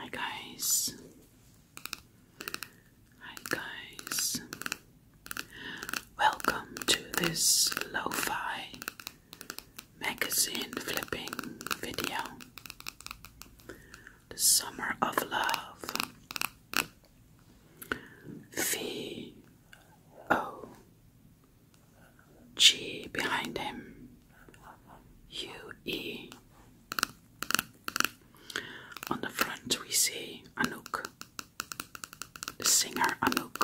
Hi guys. Hi guys. Welcome to this lo-fi magazine flipping video the summer of love. V O G behind him. U E. On the front we see Anouk, the singer Anouk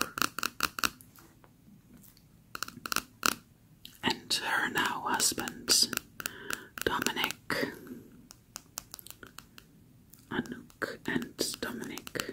and her now husband, Dominic. Anouk and Dominic.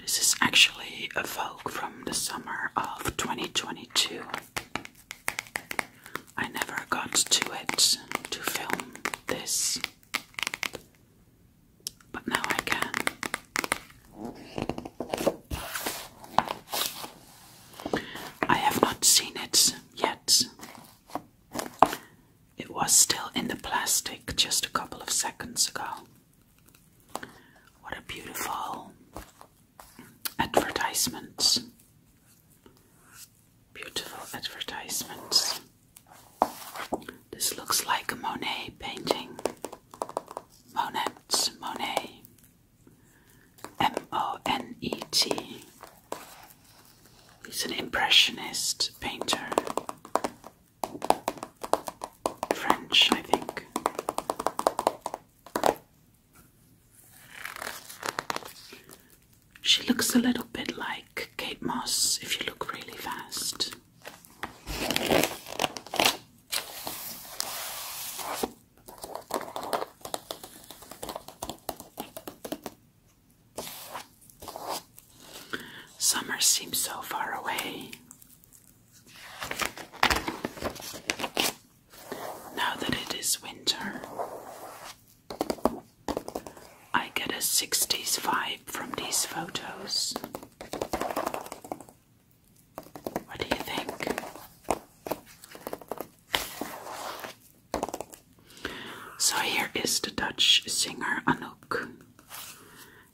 This is actually a Vogue from the summer of 2022. I never got to it to film this, but now I can. I have not seen it yet. It was still in the plastic just a couple of seconds ago. What a beautiful advertisement! Beautiful advertisements. This looks like a Monet painting. Monet, Monet. M O N E T. He's an impressionist painter. French, I think. She looks a little bit like Kate Moss if you look really fast. Summer seems so far away. Now that it is winter, I get a 60s vibe from these photos. What do you think? So here is the Dutch singer Anouk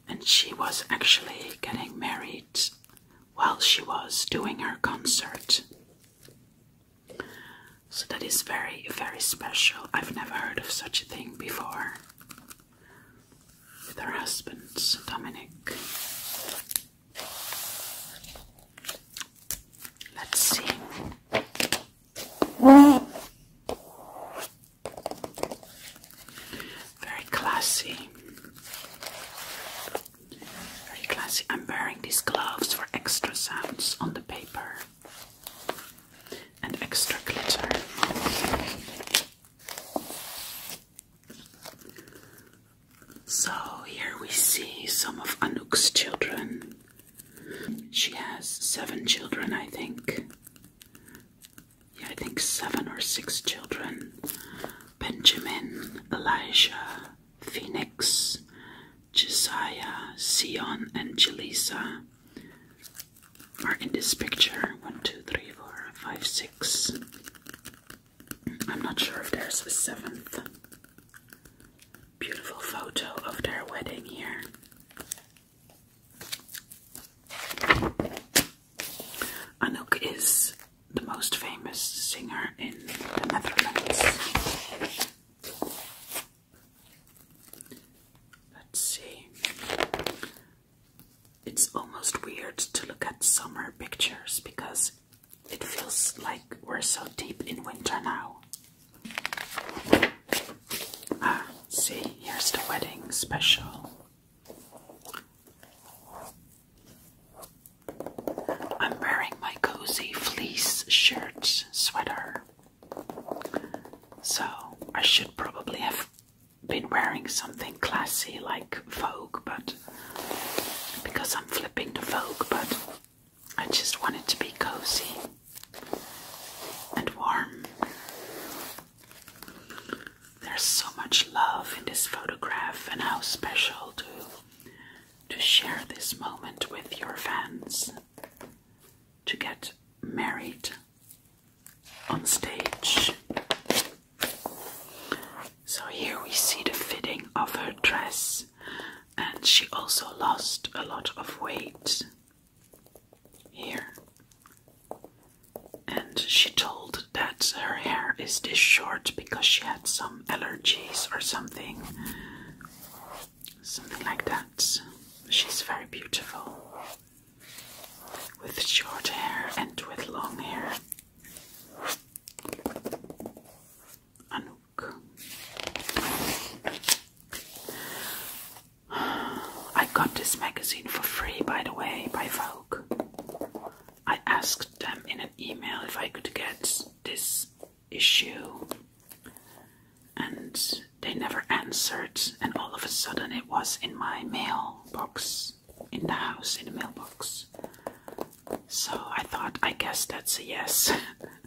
and she was actually getting married while she was doing her concert. So that is very, very special. I've never heard of such a thing before. With her husband, Dominic. Let's see. Very classy. Very classy. I'm wearing these gloves for extra sounds on the paper and extra glitter. So here we see some of Anuk's children. She has seven children, I think yeah, I think seven or six children Benjamin, Elijah, Phoenix, Josiah, Sion, and Jelisa are in this picture. One, two, three, four, five, six. I'm not sure if there's a seventh. Beautiful photo of their wedding here. Anouk is the most famous singer in the Netherlands. Let's see. It's almost weird to look at summer pictures because it feels like we're so deep in winter now. Ah, see, here's the wedding special. I'm wearing my cozy fleece shirt sweater. So I should probably have been wearing something classy like Vogue, but because I'm flipping the Vogue, but I just wanted to be cozy and warm. There's so much love in this photograph, and how special to to share this moment with your fans. To get married on stage. So here we see the fitting of her dress, and she also lost a lot of weight here. And she told that her hair is this short because she had some allergies or something. Something like that. She's very beautiful. With short hair and with long hair. Anouk. I got this magazine for free, by the way, by Vogue. I asked them in an email if I could get this issue, and they never answered. And all of a sudden, it was in my mailbox, in the house, in the mailbox. So I thought, I guess that's a yes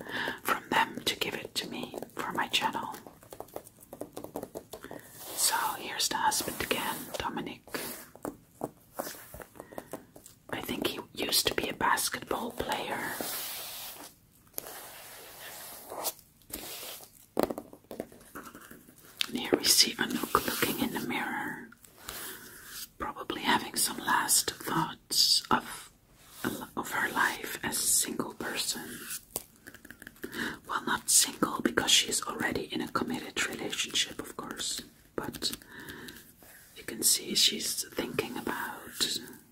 from them to give it to me for my channel. So here's the husband again, Dominic. I think he used to be a basketball player. And here we see Anouk looking in the mirror, probably having some last thoughts of, of her life as a single person. Well, not single because she's already in a committed relationship, of course, but you can see she's thinking about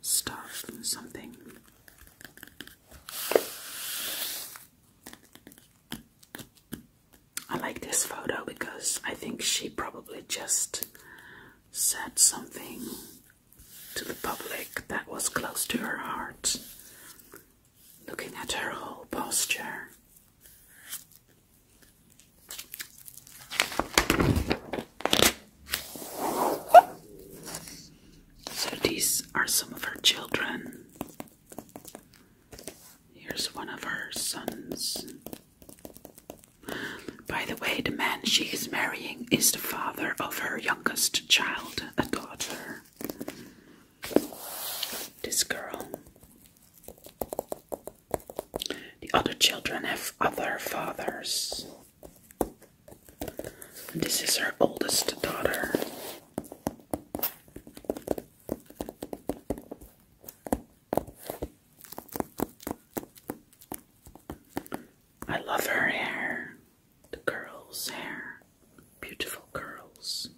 stuff, something. I like this photo because I think she probably just said something to the public that was close to her heart looking at her whole posture. So these are some of her children. Here's one of her sons. By the way, the man she is marrying is the father of her youngest child, a daughter this girl. The other children have other fathers. this is her oldest daughter. I love her hair, the girl's hair beautiful curls.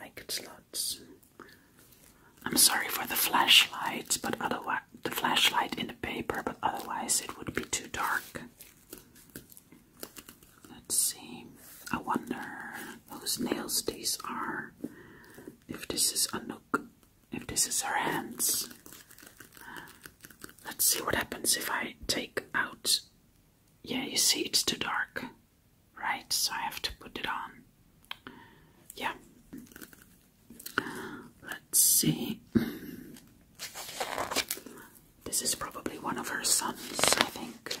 Like it's lots. I'm sorry for the flashlight, but otherwise the flashlight in the paper, but otherwise it would be too dark. Let's see. I wonder whose nails these are. If this is Anouk, if this is her hands. Let's see what happens if I take out. Yeah, you see, it's too dark, right? So I have to put it on. Yeah. Let's see. This is probably one of her sons, I think.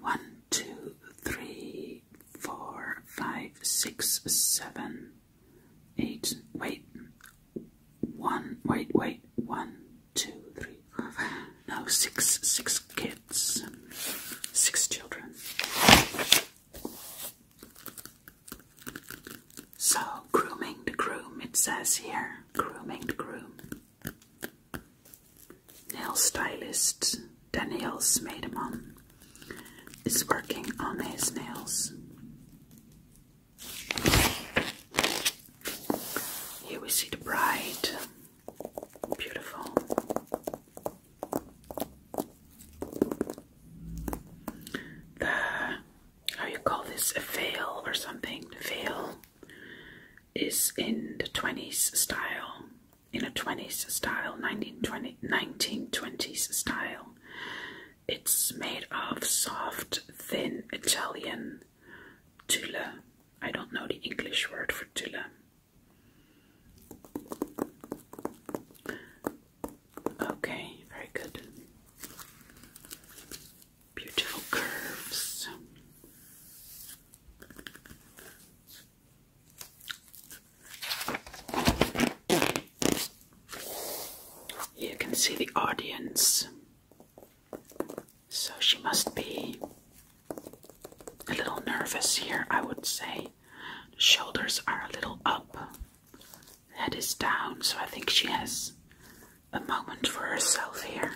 One, two, three, four, five, six, seven eight, wait, one, wait, wait, one, two, three, four, five, no, six, six kids, six children. So, grooming the groom, it says here, grooming the groom. Nail stylist Danielle Smedeman is working on his nails. Here we see the bride. Beautiful. The how you call this a veil or something? veil is in the 20s style, in a 20s style, 1920, 1920s style. It's made of soft, thin Italian tulle. I don't know the English word for tulle. Okay, very good. Beautiful curves. You can see the audience. So she must be a little nervous here, I would say. The shoulders are a little up, head is down, so I think she has a moment for herself here.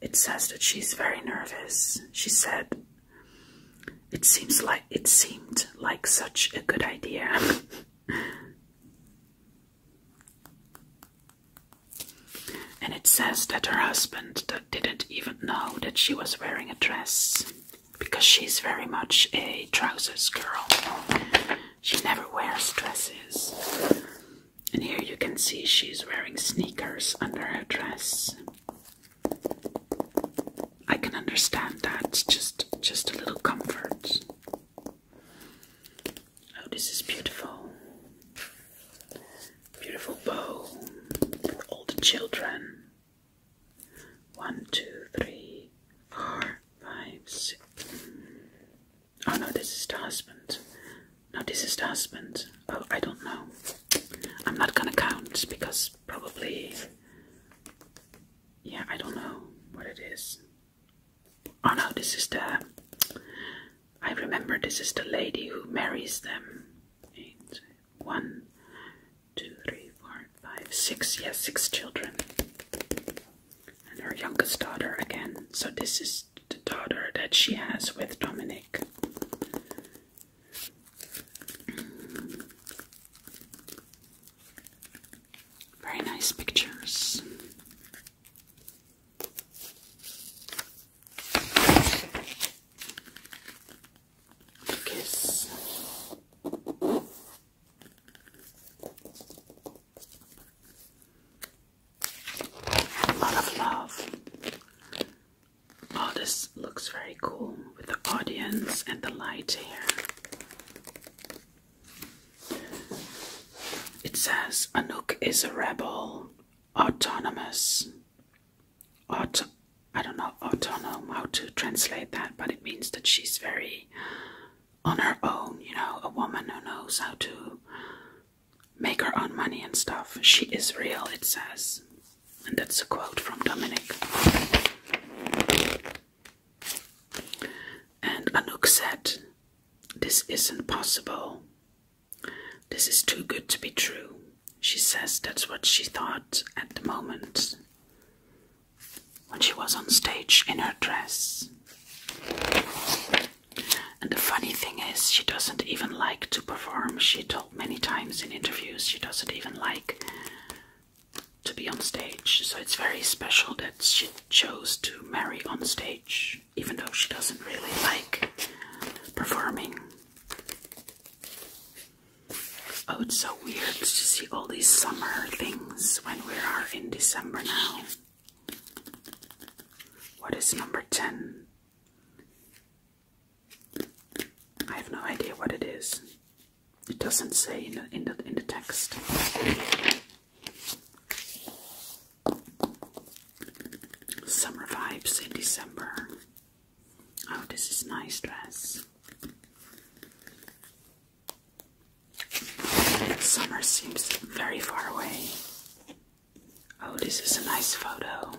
It says that she's very nervous. She said, it seems like it seemed like such a good idea. and it says that her husband didn't even know that she was wearing a dress because she's very much a trousers girl. She never wears dresses. And here you can see she's wearing sneakers under her dress. I can understand that. Just just a little comfort. Oh, this is beautiful. Beautiful bow for all the children. One, two, three, four, five, six. Oh no, this is the husband. No, this is the husband. Oh, I don't know. I'm not gonna count because probably yeah, I don't know what it is. Oh no, this is the I remember this is the lady who marries them. Eight, one, two, three, four, five, six, yes, yeah, six children. And her youngest daughter again. So this is the daughter that she has with Dominic. Very nice pictures. Kiss. lot of love. Oh, this looks very cool with the audience and the light here. It says Anouk is a rebel, autonomous. Auto I don't know autonome how to translate that, but it means that she's very on her own, you know, a woman who knows how to make her own money and stuff. She is real, it says. And that's a quote from Dominic. And Anouk said, This isn't possible. This is too good to be true. She says that's what she thought at the moment when she was on stage in her dress. And the funny thing is, she doesn't even like to perform, she told many times in interviews she doesn't even like to be on stage. So it's very special that she chose to marry on stage, even though she doesn't really like performing. Oh, it's so weird to see all these summer things when we are in December now. What is number 10? I have no idea what it is. It doesn't say in the, in the, in the text. Summer vibes in December. Oh, this is nice dress. Summer seems very far away. Oh, this is a nice photo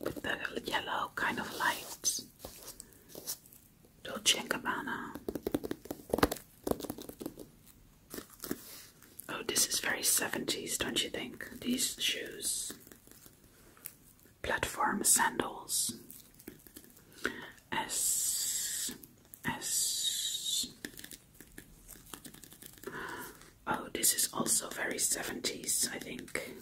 with the yellow kind of lights. Dolce & Gabbana. Oh, this is very 70s, don't you think? These shoes. Platform sandals. S. S. Oh, this is also very 70s, I think.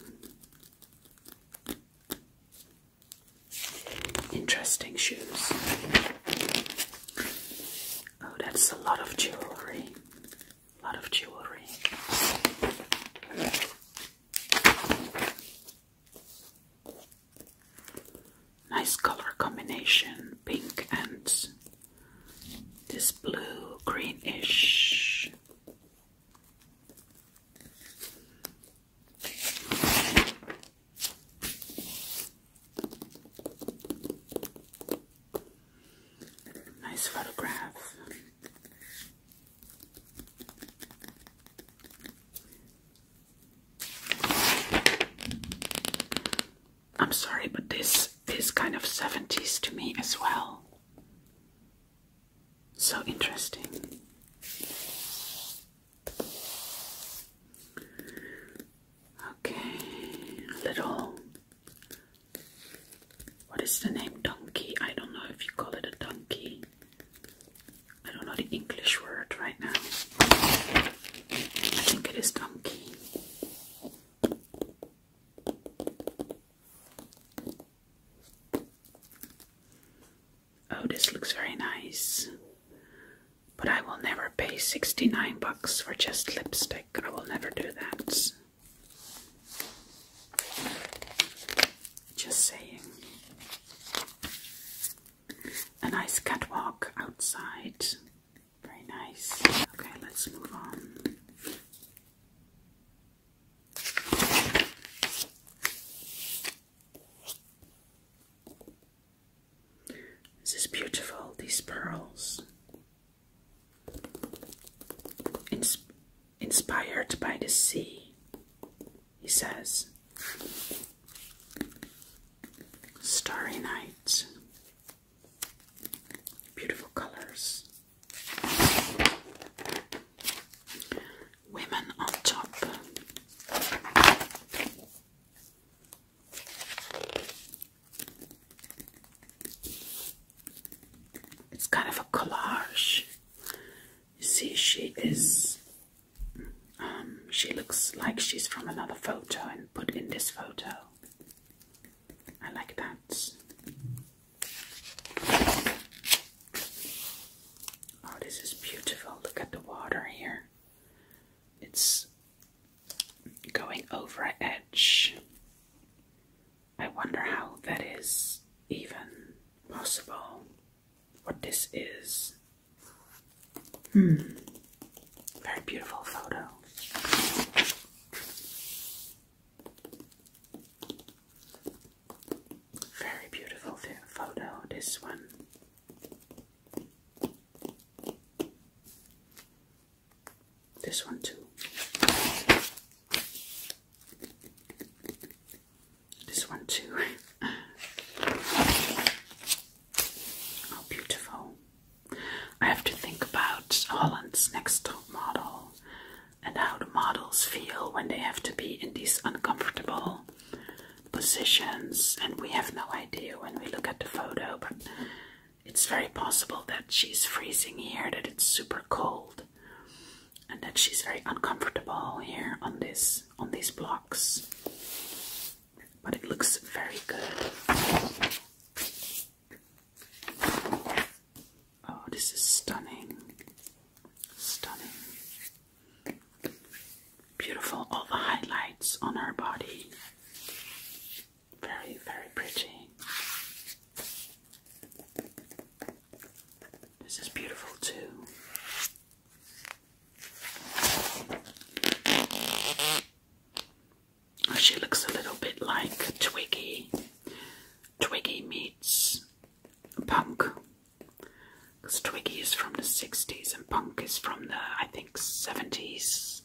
Interesting shoes. Oh, that's a lot of jewelry. A lot of jewelry. Nice color combination pink and this blue greenish Nice photograph. I'm sorry, but this is kind of 70s to me as well. So interesting. Okay, little. What is the name? Donkey. I don't know if you call it a donkey. I don't know the English word right now. I think it is donkey. Oh, this looks very nice. But I will never pay 69 bucks for just lipstick. I will never do that. Just saying. A nice catwalk outside. Very nice. Okay, let's move on. This is beautiful, these pearls. Ins inspired by the sea, he says. Starry night. Beautiful colors. Women on top. It's kind of a collage. You see, she is. Um, she looks like she's from another photo and put in this photo. I like that. Oh, this is beautiful. Look at the water here. It's going over an edge. I wonder how that is even possible. What this is. Hmm. Very beautiful photo. Very beautiful photo, this one. This one, too. This one, too. oh, beautiful. I have to think about Holland's next top model and how the models feel when they have to be in these uncomfortable positions. And we have no idea when we look at the photo, but it's very possible that she's freezing here, that it's super cold, and that she's very uncomfortable here on this on these blocks. But it looks very good. Oh, this is stunning. Stunning. Beautiful, all the highlights on her body. Very, very pretty. This is beautiful too. She looks a little bit like Twiggy. Twiggy meets punk. Because Twiggy is from the 60s and punk is from the, I think, 70s.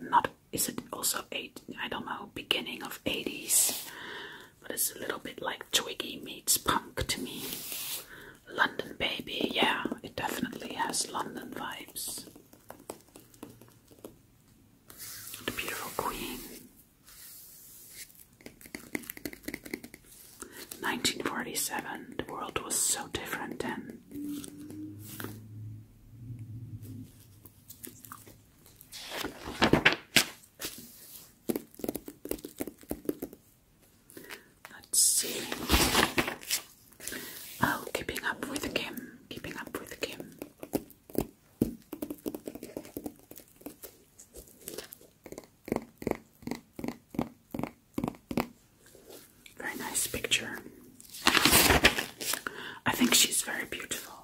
Not, is it also 8, I don't know, beginning of 80s. But it's a little bit like Twiggy meets punk to me. London Baby, yeah, it definitely has London vibes. Beautiful Queen. 1947, the world was so different then. Let's see. Oh, keeping up with Kim, keeping up with Kim. Very nice picture. I think she's very beautiful.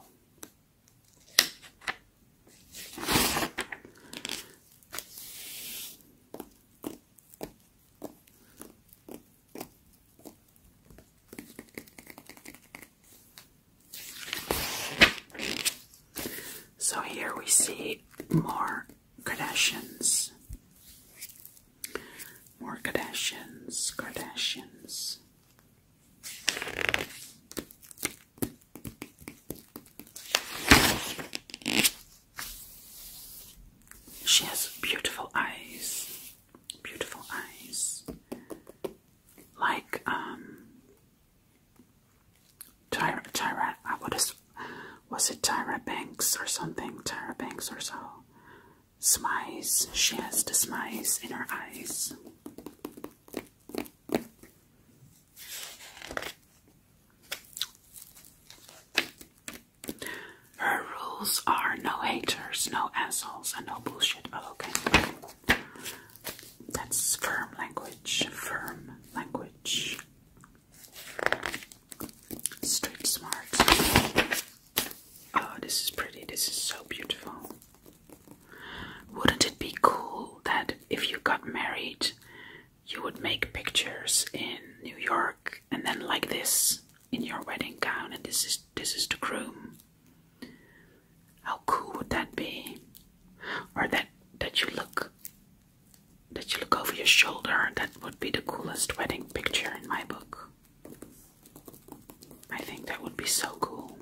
So here we see more Kardashians. More Kardashians, Kardashians. She has beautiful eyes, beautiful eyes, like um, Tyra Tyra I would was it Tyra Banks or something? Tyra Banks or so. Smize. She has the smize in her eyes. Her rules are no haters, no assholes, and no bullshit. Oh, okay. That's firm language, firm language. Straight smart. Oh, this is pretty. This is so beautiful. Wouldn't it be cool that if you got married, you would make pictures in New York and then like this in your wedding gown and this is this is the groom how cool would that be? Or that that you look that you look over your shoulder. That would be the coolest wedding picture in my book. I think that would be so cool.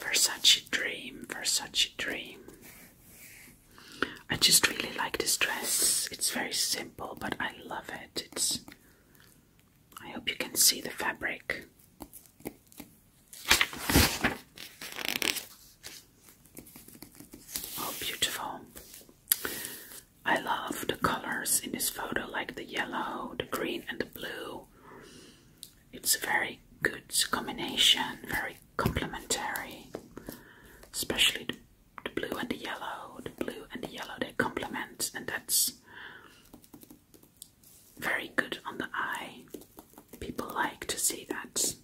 Versace Dream, Versace Dream. I just really like this dress. It's very simple, but I love it. It's I hope you can see the fabric. Oh, beautiful. I love the colors in this photo, like the yellow, the green, and the blue. It's a very good combination, very complementary, especially the the blue and the yellow, the blue and the yellow, they complement, and that's very good on the eye. People like to see that.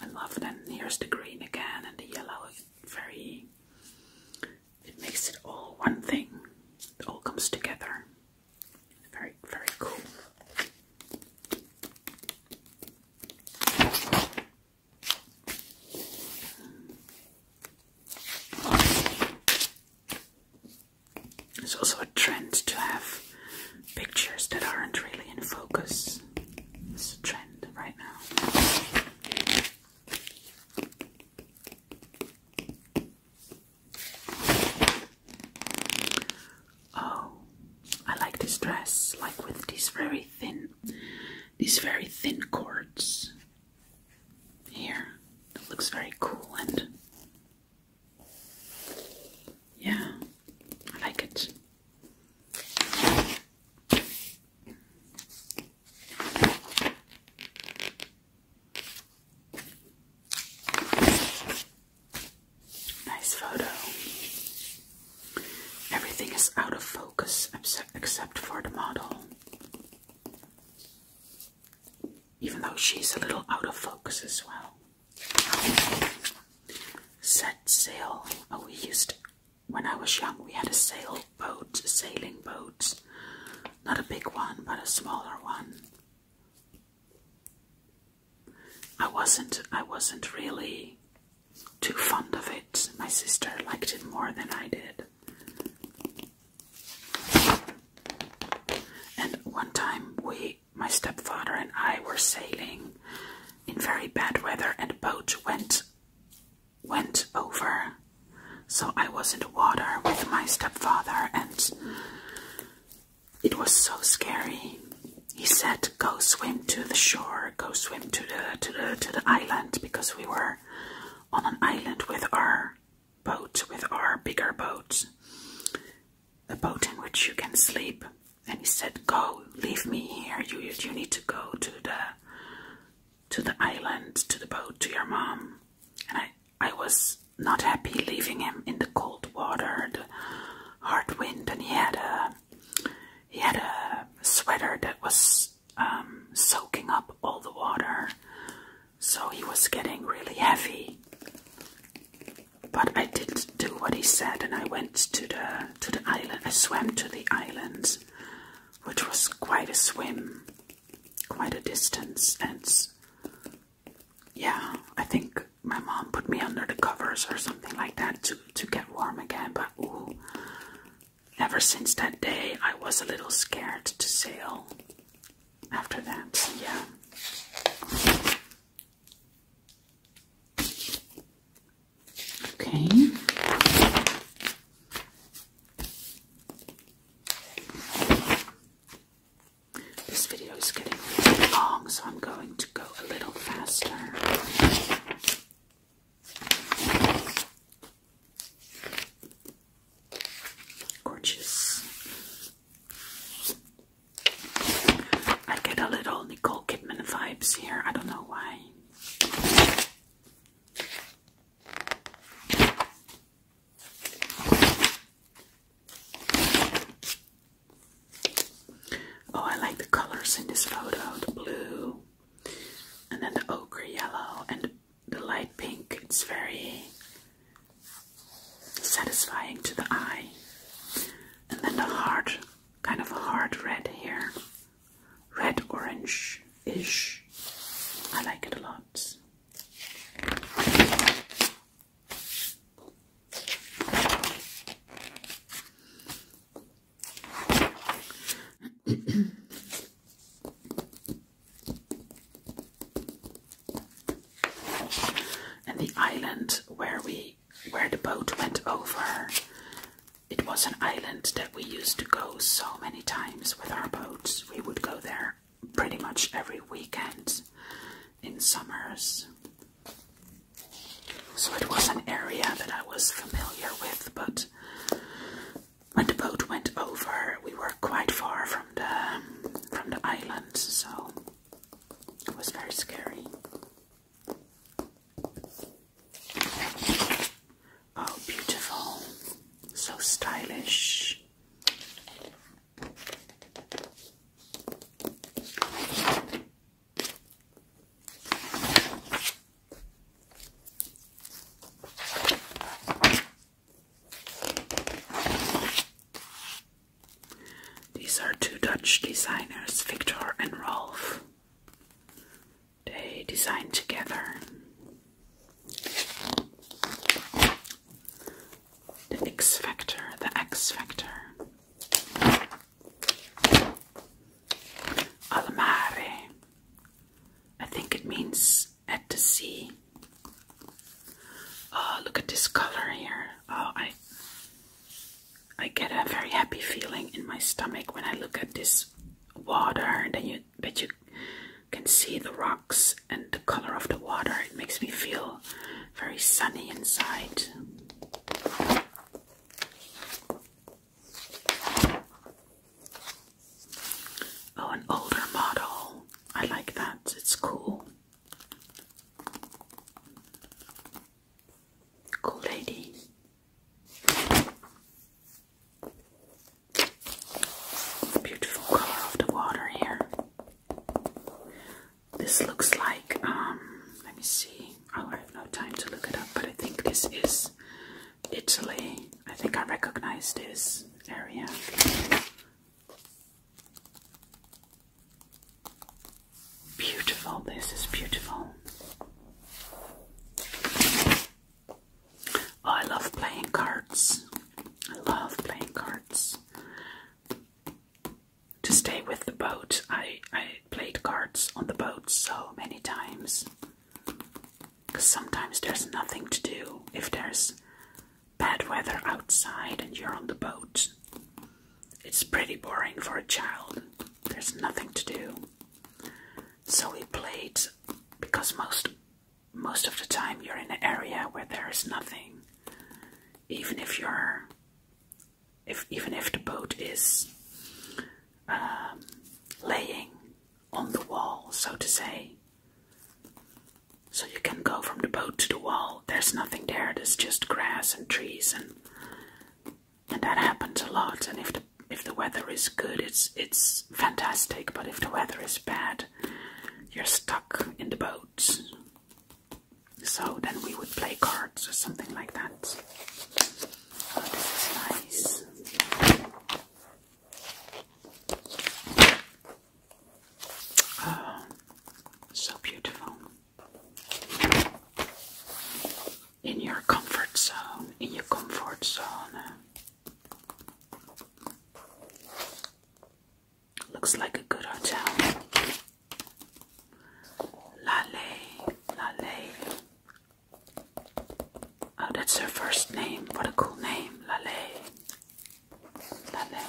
I love then here's the green again and the yellow. very it makes it all one thing. It all comes together. Very, very cool. It's also a trend to have pictures that aren't really in focus. It's a trend right now. Oh, I like this dress, like with these very thin these very thin cords here. That looks very cool and yeah, I like it. Nice photo. Everything is out of focus except for the model. Even though she's a little out of focus as well. Set sail. Oh, we used, when I was young, we had a sail boat, a sailing boat. Not a big one, but a smaller one. I wasn't, I wasn't really too fond of it. My sister liked it more than I did. And one time we my stepfather and I were sailing in very bad weather and the boat went went over. So I was in the water with my stepfather and it was so scary. He said, "Go swim to the shore. Go swim to the to the to the island because we were on an island with our boat, with our bigger boat, a boat in which you can sleep. And he said, "Go, leave me here. You you need to go to the to the island, to the boat, to your mom." And I I was not happy leaving him in the cold water, the hard wind, and he had a he had a sweater that was um, soaking up all the water, so he was getting really heavy. But I did do what he said, and I went to the to the island. I swam to the islands, which was quite a swim, quite a distance, and yeah, I think my mom put me under the covers or something like that to to get warm again. But Ever since that day, I was a little scared to sail. After that, yeah. Okay. This video is getting really long, so I'm going to go a little faster. Gorgeous. I get a little Nicole Kidman vibes here. I don't know why. Oh, I like the colors in this photo the blue, and then the ochre yellow and the light pink. It's very satisfying to the eye. And then the hard, kind of hard red here, red orange ish. I like it a lot and the island where we where the boat went over it was an island that we used to go so many times with our boats we would go there pretty much every weekend in summers so it was an area that I was familiar with but when the boat went over, we were quite far from the um, from the island, so it was very scary. Oh, beautiful! So stylish. These are two Dutch designers, Victor and Rolf. They design together. The X Factor, the X Factor. Almare, I think it means at the sea. Oh, look at this color here. Oh, I I get a very happy feeling in my stomach when I look at this water. Then you but you can see the rocks and the color of the water. It makes me feel very sunny inside. Oh, an older model. I like that. It's cool. Cool lady. Beautiful color of the water here. This looks like, um, let me see. Oh, I have no time to look it up, but I think this is Italy. I think I recognize this area. Beautiful, this is beautiful. Oh, I love playing cards. I love playing cards. To stay with the boat, I, I played cards on the boat so many times. Because sometimes there's nothing to do if there's bad weather outside and you're on the boat. It's pretty boring for a child. There's nothing to do. So we played because most most of the time you're in an area where there is nothing. Even if you're if even if the boat is um, laying, on the wall, so to say. So you can go from the boat to the wall. There's nothing there, It's just grass and trees and and that happens a lot. And if the if the weather is good it's it's fantastic, but if the weather is bad, you're stuck in the boat. So then we would play cards or something like that. Oh, this is nice. Oh, so beautiful. In your comfort zone, in your comfort zone. Looks like a good hotel. Lale, lale, Oh, that's her first name. What a cool name, Lale. Lale.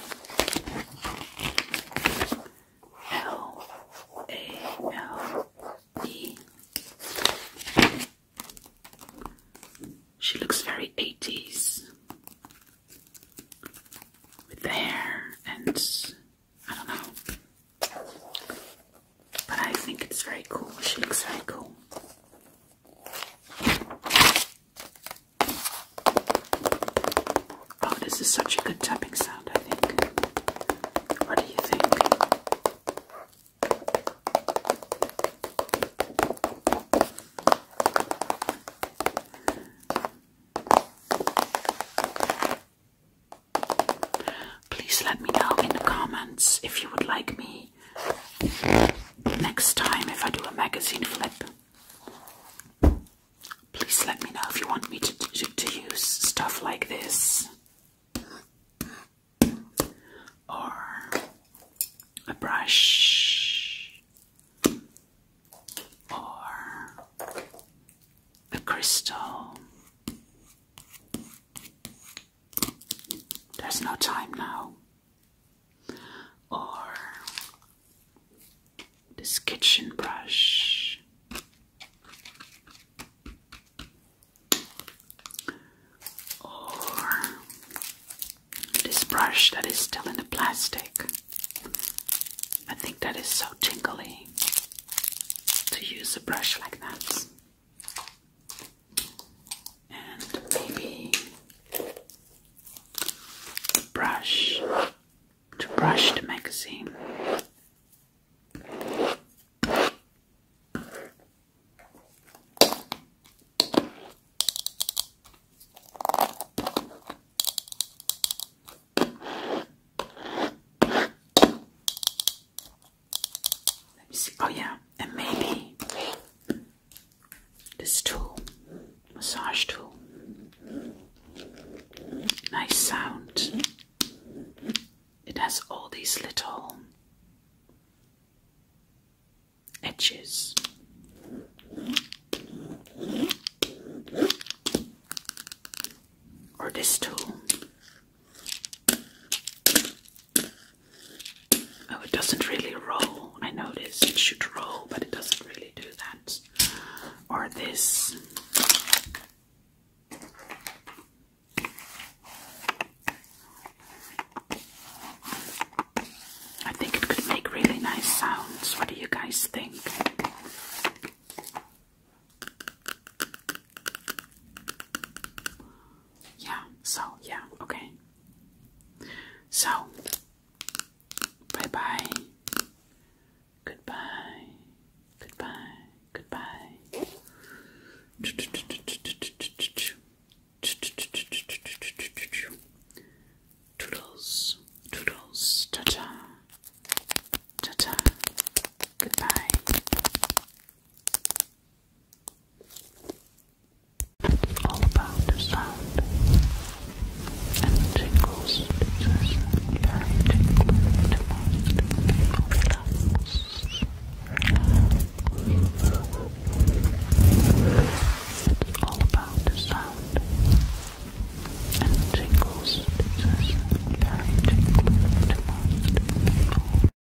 She looks very 80s with the hair and I don't know. But I think it's very cool. She looks very cool. Oh, this is such a good tapping sound, I think. What do you think? Please let me know in the comments if you would like me next time if I do a magazine flip. Please let me know if you want me to, to use stuff like this or a brush or a crystal there's no time now. Or this kitchen brush. Or this brush that is still in the plastic. I think that is so tingly to use a brush like that and maybe brush to brush the magazine. Let me see. Oh yeah, and maybe this tool, massage tool. Nice sound. It has all these little edges. Or this tool. Oh, it doesn't really roll. I noticed it should roll, but it doesn't really do that. Or this. I think it could make really nice sounds. What do you guys think? Yeah, so, yeah, okay. So, bye Goodbye. Goodbye. Goodbye. Toodles. Toodles. Ta ta. Goodbye. All about the sound and the tingles. This is very tingling to most It's all about the sound and the tingles. This is very tingling to